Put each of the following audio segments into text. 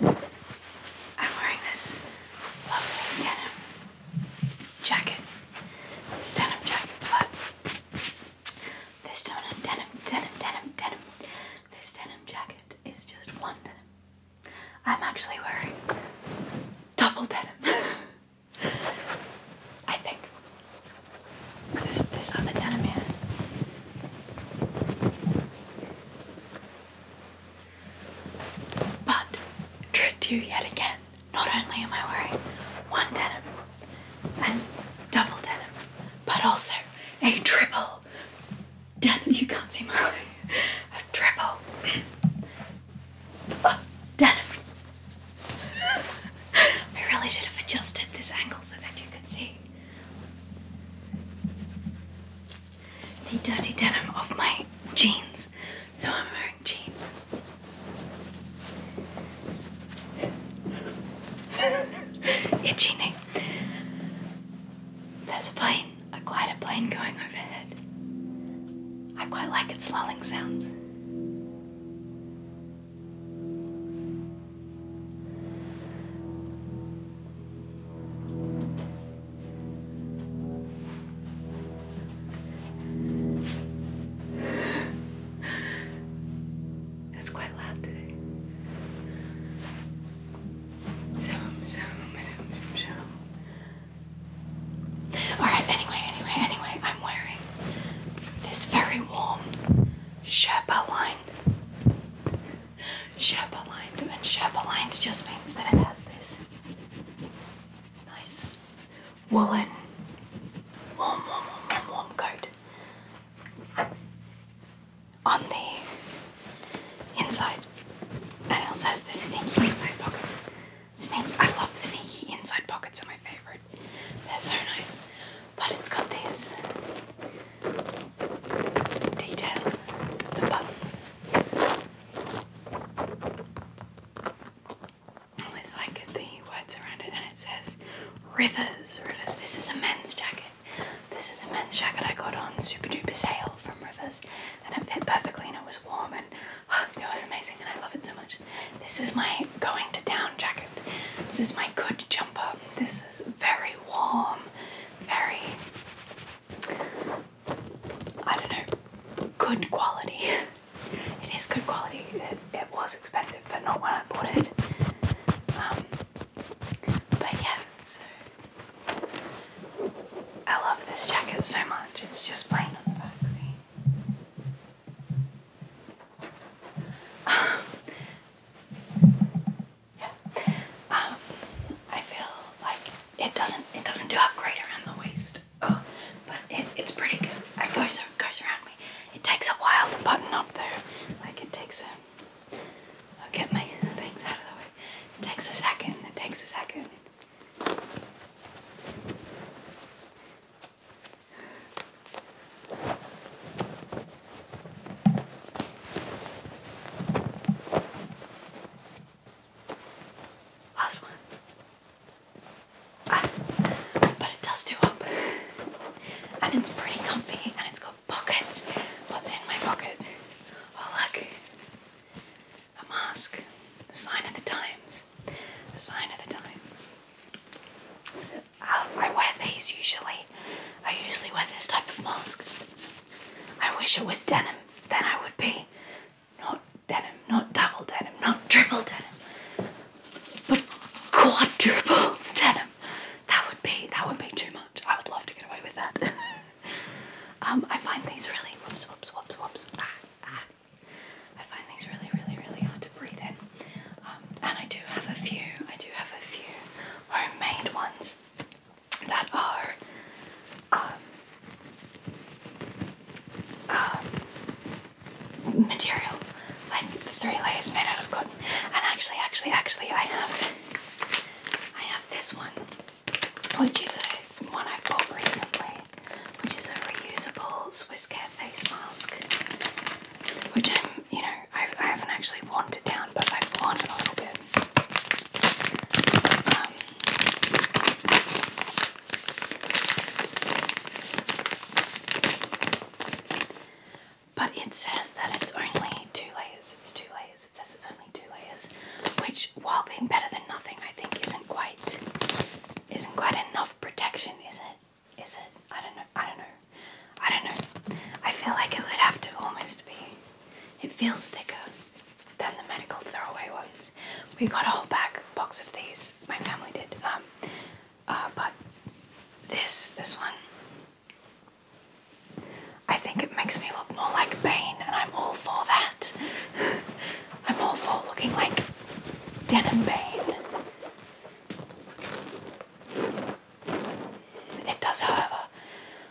I'm wearing this lovely denim jacket, this denim jacket, but this denim, denim, denim, denim, this denim jacket is just one denim. I'm actually wearing double denim. I think this this other denim here but tricked you yet again. Not only am I wearing one denim and double denim, but also a triple denim. You can't see my a triple denim. I really should have adjusted this angle so that you could see the dirty denim of my jeans. So I'm wearing jeans. You're There's a plane, a glider plane going overhead. I quite like its lulling sounds. That's quite loud today. Zoom, zoom, zoom, zoom. Alright, anyway, anyway, anyway, I'm wearing this very warm Sherpa line shape aligned and shape aligned just means that it has this nice woolen warm warm warm warm, coat on the inside and it also has this sneaky inside pocket. Sneak I love sneaky inside pockets are my favourite. They're so nice. But it's got these details, the buttons. With like the words around it, and it says Rivers, Rivers. This is a men's jacket. This is a men's jacket I got on super duper sale from Rivers, and it fit perfectly, and it was warm, and oh, it was amazing, and I love it so much. This is my going to town jacket. This is my good jumper. This is very warm, very I don't know, good quality. it is good quality. It, was expensive, but not when I bought it. Um, but yeah, so I love this jacket so much. It's just plain on the back. See, yeah. Um, I feel like it doesn't it doesn't do up great around the waist. Oh, but it, it's pretty good. It goes around me. It takes a while to button up though. Like it takes a I'll get my things out of the way. It takes a second, it takes a second. Last one. Ah, but it does do up. And it's pretty comfy and it's got pockets. What's in my pocket? Oh, look. A mask. The sign of the times. The sign of the times. Oh, I wear these usually. I usually wear this type of mask. I wish it was denim, then I would be not denim, not double denim, not triple denim, but quadruple denim. That would be that would be too much. I would love to get away with that. um, I find these really whoops whoops whoops whoops. Ah, ah. I find these really really really hard to breathe in. Um, and I do have a few. I do have a few homemade ones that are um, um, material, like three layers made out of cotton. And actually, actually, actually, I have I have this one, which is one I bought recently, which is a reusable Swiss Care face mask, which I'm, you know, I've, I haven't actually worn it down, but I've worn a little bit. Um, but it says that it's only two layers. It's two layers. It says it's only two layers, which, while being better than nothing, I think isn't quite isn't quite enough protection, is it? Is it? I don't know. I don't know. I don't know. I feel like it would have to almost be. It feels thicker than the medical throwaway ones. We got a whole bag box of these. My family did. Um, uh, but this this one. I think it makes me look more like Bane, and I'm all for that. I'm all for looking like Denim Bane. It does, however,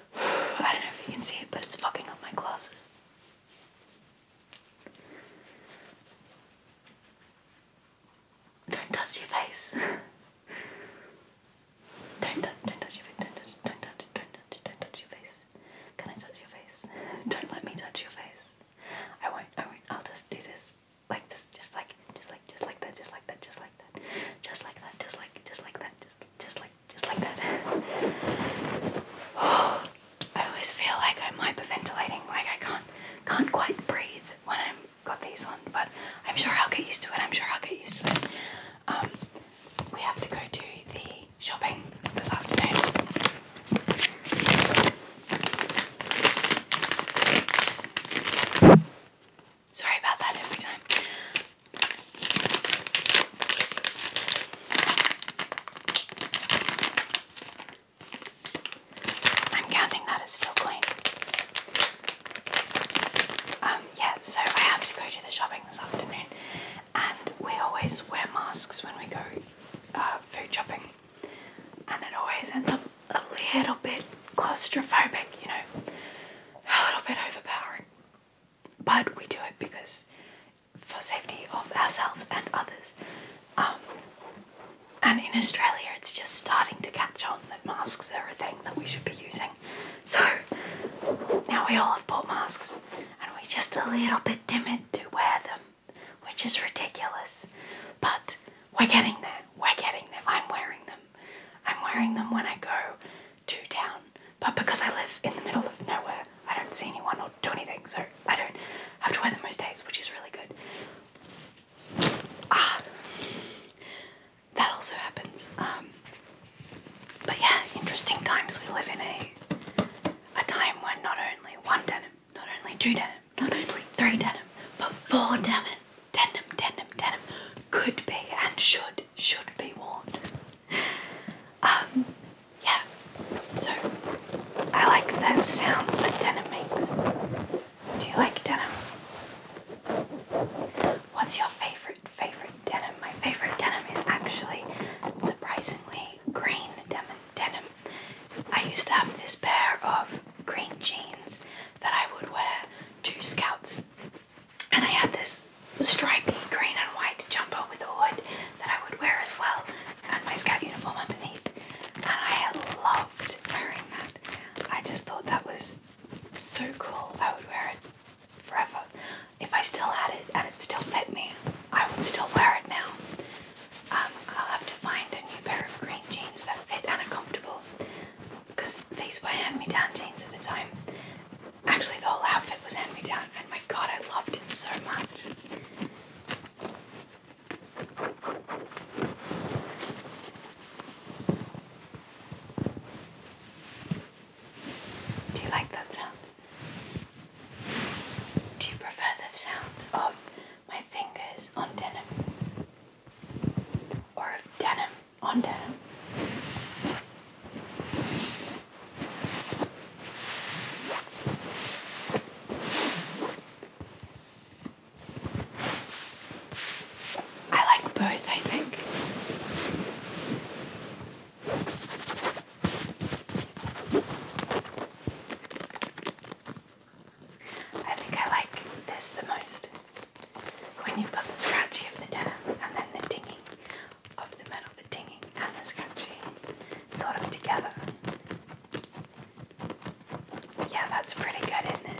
I don't know if you can see it, but it's fucking up my glasses. Don't touch your face. don't, do don't touch your face. Don't touch, don't touch, don't touch, your face. Can I touch your face? don't let me touch your face. I won't, I won't. I'll just do this. Like this, just like, just like, just like that, just like that, just like that, just like that, just like, just like that, just, just like just like that. I always feel like I'm hyperventilating, like I can't can't quite breathe when I'm got these on, but I'm sure I'll get used to it. I'm sure I'll get used to it. Um, we have to go to the shopping this afternoon. Sorry about that every time. I'm counting that it's still clean. Um, yeah, so I have to go to the shopping this afternoon, and we always wear masks when we go uh, food shopping, and it always ends up a little bit claustrophobic, you know, a little bit overpowering but we do it because for safety of ourselves and others. Um, and in Australia, it's just starting to catch on that masks are a thing that we should be using. So now we all have bought masks, and we're just a little bit timid to wear them, which is ridiculous. But we're getting there. We're getting there. I'm wearing them. I'm wearing them when I go to town, but because I live in the middle of nowhere, I don't see anyone or do anything, so I don't have to wear them most days, which is really good. Ah, that also happens. Um, but yeah, interesting times we live in a eh? a time when not only one denim, not only two denim, not only three denim, but four denim, denim, denim, denim, could be and should should be worn. Um, yeah. So I like those sounds that denim makes. Do you like denim? What's your favorite favorite denim? My favorite denim is actually surprisingly green denim. Denim. I used to have this pair of green jeans that I would wear to scouts and I had this stripy green and white jumper with a hood that I would wear as well, and my scout uniform underneath. And I loved wearing that. I just thought that was so cool. I would wear it forever. If I still had it and it still fit me, I would still wear it now. Um, I'll have to find a new pair of green jeans that fit and are comfortable because these were hand me down jeans at the time. Actually, the whole outfit was hand me down, and my god, I loved it so much. Do you like that sound? Do you prefer the sound of my fingers on denim or of denim on down. I like both, I think. I think I like this the most. When you've got the scratchy of the dam and then the dingy of the metal, the tinging and the scratching, sort of together. Yeah, that's pretty good, isn't it?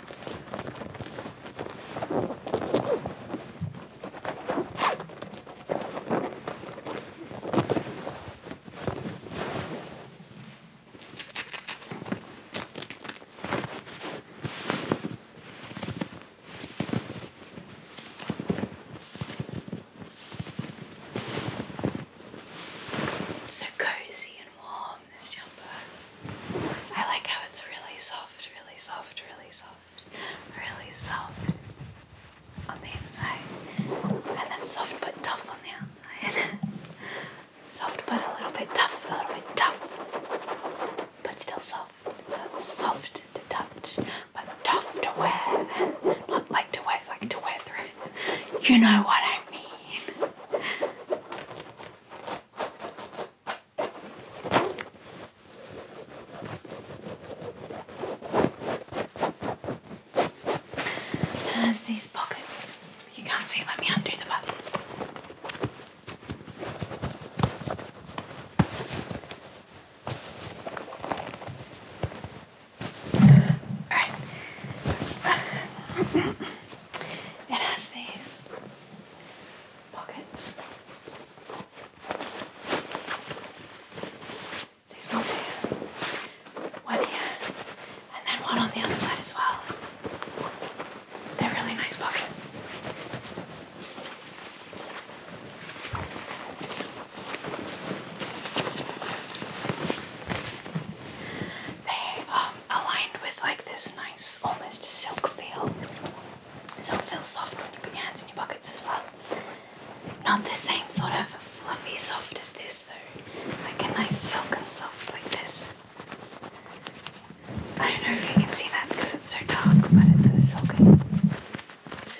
It's so cozy and warm, this jumper. I like how it's really soft, really soft, really soft, really soft on the inside, and then soft but tough on the outside. soft but a little bit tough, a little bit tough, but still soft. So soft to touch, but tough to wear. Not like to wear, like to wear through. You know what I mean. There's these pockets. You can't see, let me undo the buttons. Alright. It has these pockets. These ones here, one here, and then one on the other side as well. They're really nice pockets. They are um, aligned with like this nice, almost silk feel so it feels soft when you put your hands in your pockets as well. Not the same sort of fluffy soft as this though, like a nice silken soft like this. I don't know if you can see that because it's so dark, but it's so silky, It's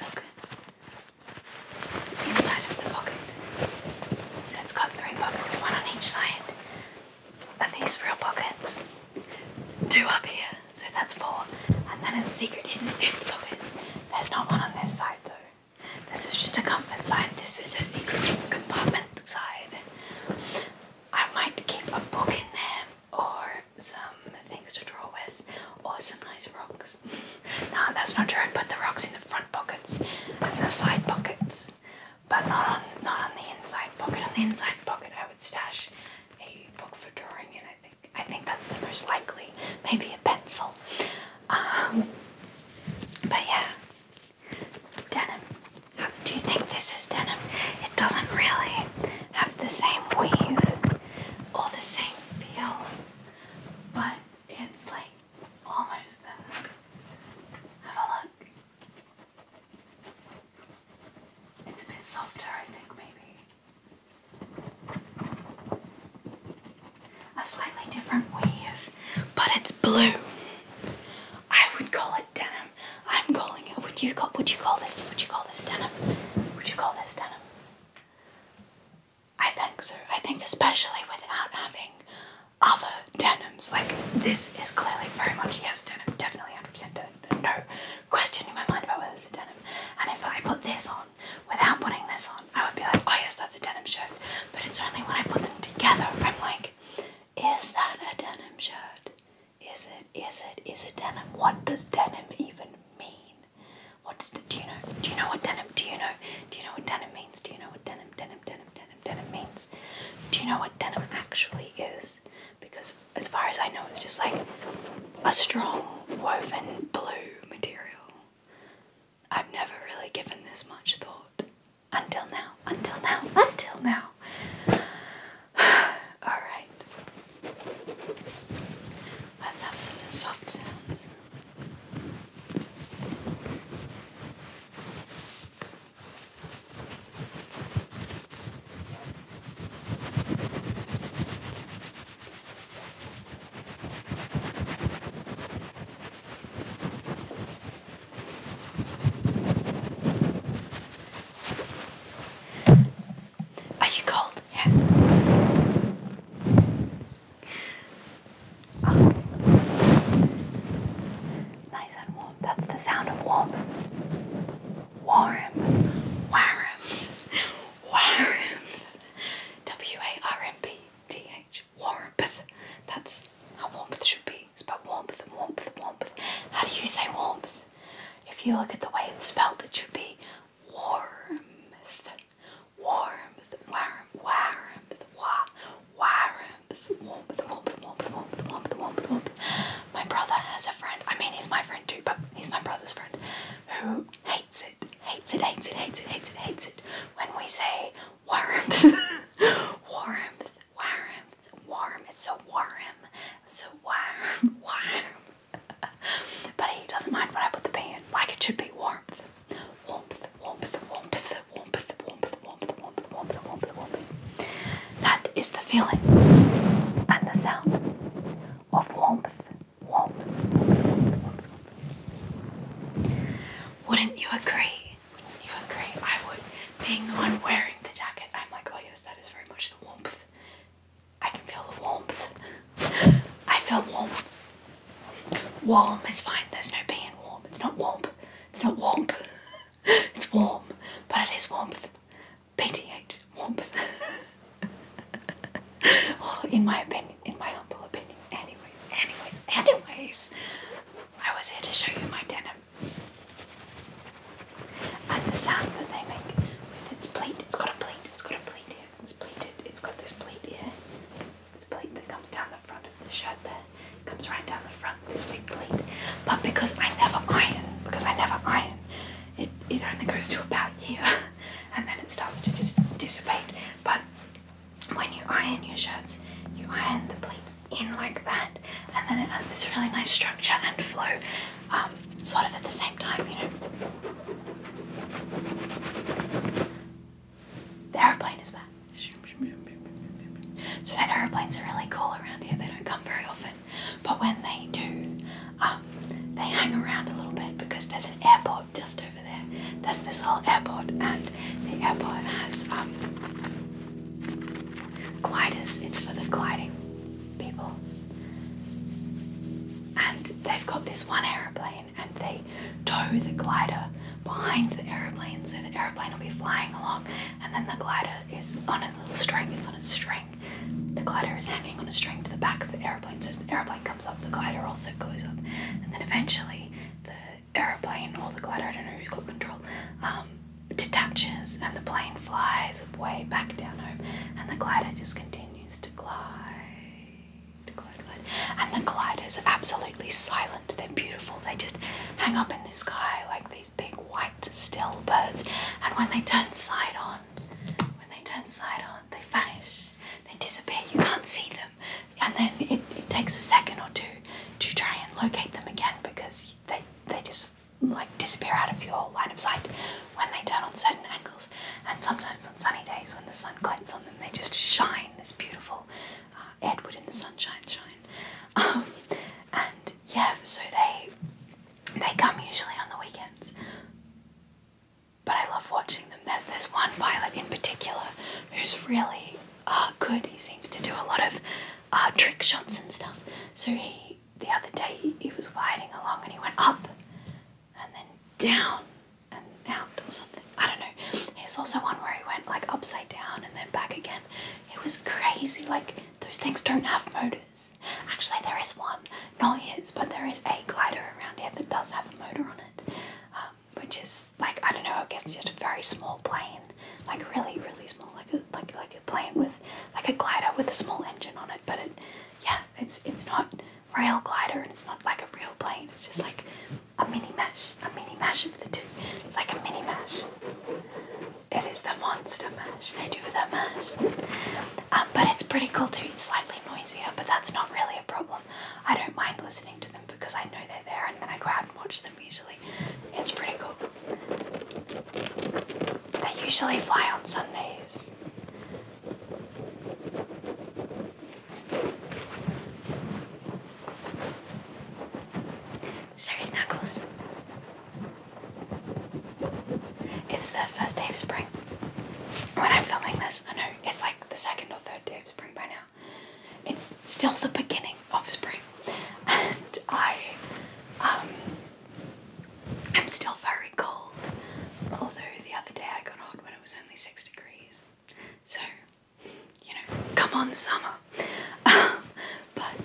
Inside of the pocket. So it's got three pockets, one on each side. Are these real pockets? Two up here, so that's four. And then a secret hidden fifth pocket. There's not one on this side though. This is just a comfort side. This is a secret compartment side. I might keep a book in there or some things to draw with or some nice rocks. no, that's not true. I put the rocks in the front pockets and the side pockets. But not on not on the inside pocket. On the inside pocket I would stash a book for drawing in, I think. I think that's the most likely. Maybe a pencil. Um, but yeah. Denim. do you think this is denim? It doesn't really have the same weave or the same feel, but it's like almost there. Have a look. It's a bit softer, I think, maybe. A slightly different weave, but it's blue. I would call it denim. I'm calling it. Would you call? Would you call this? Would you call this denim? Would you call this denim? I think so. I think especially without having other denims. Like this is clearly very much yes denim, definitely 100% denim. No questioning my mind about whether it's a denim. And if I put this on without putting this on, I would be like, oh yes, that's a denim shirt. But it's only when I put them together, I'm like, is that a denim shirt? Is it? Is it? Is it denim? What does denim even mean? What does the, do you know? Do you know what denim? Do you know? Do you know what denim means? Do you know what denim, denim, denim, denim, denim means? Do you know what denim actually is? Because as far as I know, it's just like a strong woven blue material. I've never really given this much thought until now, until now, until now. Alright, let's have some soft sounds. Are you cold? Yeah. Oh. Nice and warm. That's the sound of warmth warm, warm, warm. W A R M B T H. Warmth. That's how warmth should be. It's about warmth and warmth and warmth. How do you say warmth? If you look at the way it's spelled, it should be warmth. Warmth, warm, warmth, warmth, warmth, warmth, warmth, warmth, warmth, warmth, warmth, warmth my brother has a friend, I mean, he's my friend too, but he's my brother's friend, who hates it, hates it, hates it, hates it, hates it, hates it when we say warmth, warmth, warmth, warm, it's a warm, it's a warm, warm. but he doesn't mind when I put the P like it should be warmth, warmth, warmth, warmth, warmth, warmth, warmth, warmth, warmth, warmth, warmth. That is the feeling and the sound of warmth, warmth, Wouldn't you agree? Wouldn't you agree? I would. Being the one wearing the jacket, I'm like, oh yes, that is very much the warmth. I can feel the warmth. I feel warm. Warm is fine. There's no being warm. It's not warm. It's not warm. it's warm, but it is warmth. PTH warmth. oh, in my opinion, in my humble opinion. Anyways, anyways, anyways, I was here to show you my denim and the sounds that they make with its pleat. It's got a pleat. It's got a pleat here. It's pleated. It's got this pleat here. It's a pleat that comes down the front of the shirt. There it comes right down the front. This big pleat. But because I never iron, because I never iron it, it only goes to about here and then it starts to just dissipate. But when you iron your shirts, you iron the pleats in like that, and then it has this really nice structure and flow, um, sort of at the same time, you know. The aeroplane is back. So, the aeroplanes are really cool around here, they don't come very often. But when they do, um, they hang around a little bit because there's an airport just over there. There's this little airport, and the airport has um, gliders. It's for the gliding people. And they've got this one aeroplane, and they tow the glider behind the aeroplane, so the aeroplane will be flying along, and then the glider is on a little string. It's on a string, the glider is hanging on a string to the back of the airplane, so as the airplane comes up, the glider also goes up. And then eventually, the airplane or the glider, I don't know who's got control, um, detaches and the plane flies way back down home, and the glider just continues to glide, glide, glide. And the gliders are absolutely silent, they're beautiful, they just hang up in the sky like these big white still birds, and when they turn side on, when they turn side on, they vanish, they disappear. You can't see them, and then it, takes a second or two to try and locate them again because they they just like disappear out of your line of sight when they turn on certain angles. And sometimes on sunny days when the sun glints on them, they just shine this beautiful uh, Edward in the sunshine shine. Um, and yeah, so they they come usually on the weekends, but I love watching them. There's this one pilot in particular who's really uh, good. He seems to do a lot of uh, trick shots and stuff. So he, the other day, he, he was gliding along and he went up and then down and out or something. I don't know. There's also one where he went like upside down and then back again. It was crazy. Like those things don't have motors. Actually, there is one, not his, but there is a glider around here that does have a motor on it, um, which is like I don't know. I guess just a very small plane, like really, really small, like a like like a plane with like a glider with a small engine on it. But it, yeah, it's it's not rail glider and it's not like a real plane. It's just like a mini mash, a mini mash of the two. It's like a mini mash. It is the monster mash. They do the mash. Um, but it's pretty cool too. It's slightly noisier, but that's not really a problem. I don't mind listening to them because I know they're there and then I go out and watch them usually. It's pretty cool. They usually fly on Sundays. Sorry, Knuckles. It's the first day of spring. When I'm filming this, I know it's like the second or third day of spring by now. It's still the beginning of spring, and I um I'm still very cold. Although the other day I got hot when it was only six degrees, so you know, come on summer. but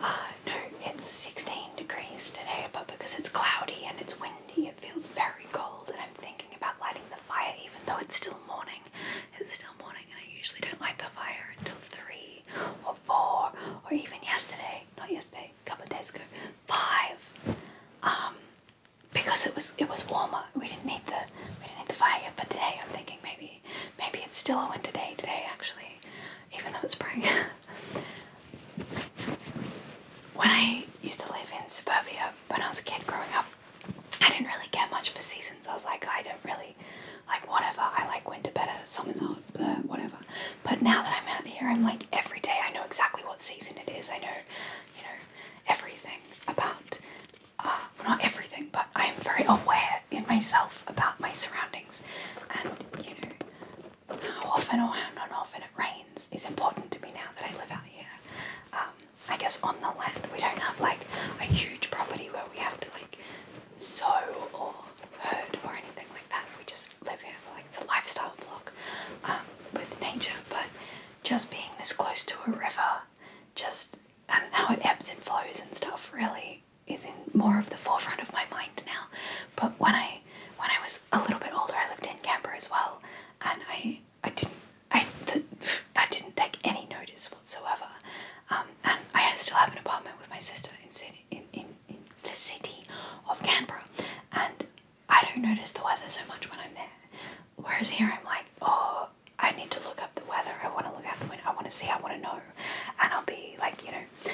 uh, no, it's 16 degrees today, but because it's cloudy and it's windy, it feels very cold. And I'm thinking about lighting the fire, even though it's still morning. It's still morning, and I usually don't light the fire until 3 or 4 or even yesterday, not yesterday, a couple of days ago, 5. Um, because it was it was warmer, we didn't need the we didn't need the fire yet. But today, I'm thinking maybe maybe it's still a winter day today. Actually, even though it's spring. when I used to live in suburbia when I was a kid growing up, I didn't really get much of a season. So I was like, I don't really like whatever. I like winter better, summer's hot, but whatever. But now that I'm out here, I'm like every day I know exactly what season it is. I know, you know, everything about. Uh, not everything, but I am very aware in myself about my surroundings, and you know, how often or how not often it rains is important to me now that I live out here. Um, I guess on the land we don't have like a huge property where we have to like sow or herd or anything like that. We just live here like it's a lifestyle block um, with nature. But just being this close to a river, just and how it ebbs and flows and stuff really is in more of the forefront of my mind now. But when I when I was a little bit older, I lived in Canberra as well, and I I didn't I th I didn't take any notice whatsoever. Um, and I still have an apartment with my sister in in, in, in the city of Canberra, and I don't notice the weather so much when I'm there. Whereas here, I'm like, oh, I need to look up the weather. I want to look out the window. I want to see. I want to know, and I'll be like, you know,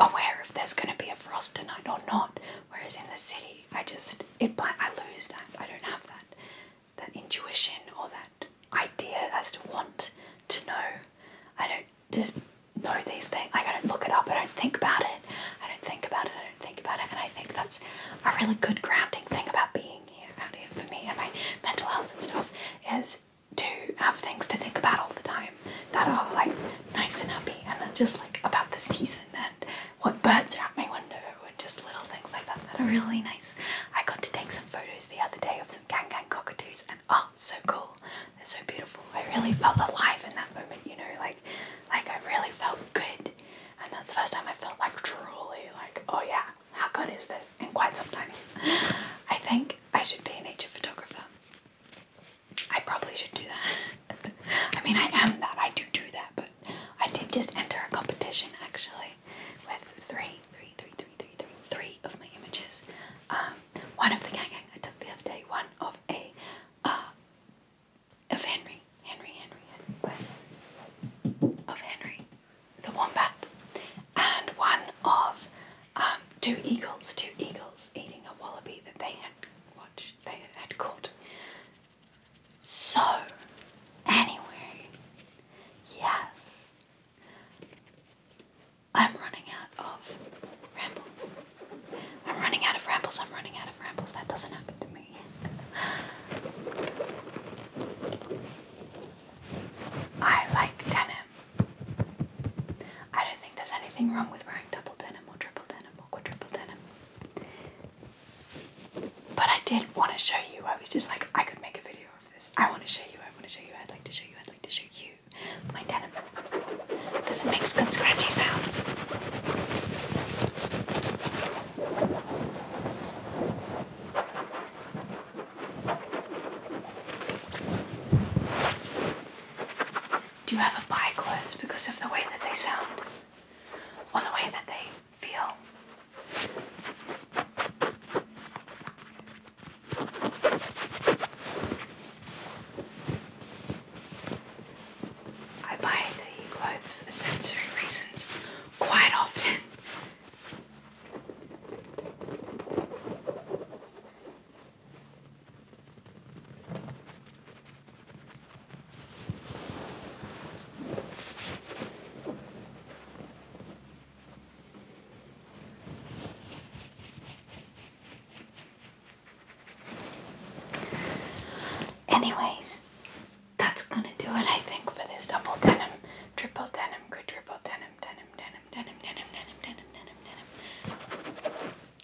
aware if there's going to be a frost tonight or not. Whereas in the city, I just it I lose that. I don't have that that intuition or that idea as to want to know. I don't just know these things. Like I don't look it up. I don't think about it. I don't think about it. I don't think about it. And I think that's a really good grounding thing about being out here for me and my mental health and stuff is to have things to think about all the time that are like nice and happy and are just like about the season and what birds are at my window or just little things like that that are really nice. I got to take some photos the other day of some gang gang cockatoos and oh so cool. They're so beautiful. I really felt alive in that moment, you know, like like I really felt good. And that's the first time I felt like truly like, oh yeah, how good is this? In quite some time. I think I should be a nature photographer. I probably should do that. I mean, I am that. I do do that, but I did just enter a competition actually with three, three, three, three, three, three, three of my images. Um, one of the gang gang I took the other day. One of a uh, of Henry, Henry, Henry, Henry where's it? of Henry, the wombat, and one of um, two eagles, two eagles eating a wallaby that they had watched, they had caught. So, anyway, yes, I'm running out of rambles. I'm running out of rambles, I'm running out of rambles. That doesn't happen to me. I like denim. I don't think there's anything wrong with wearing double denim or triple denim or quadruple denim. But I did want to show you. I was just like, I could make a video of this. I want to show you. I want to show you. I'd like to show you. I'd like to show you my denim because it makes good scratchy sounds. Do you ever buy clothes because of the way that they sound or the way that they feel? I buy the clothes for the sensory reasons quite often. Anyways, that's gonna do it, I think, for this double denim, triple denim, quadruple denim, denim, denim, denim, denim, denim, denim, denim, denim,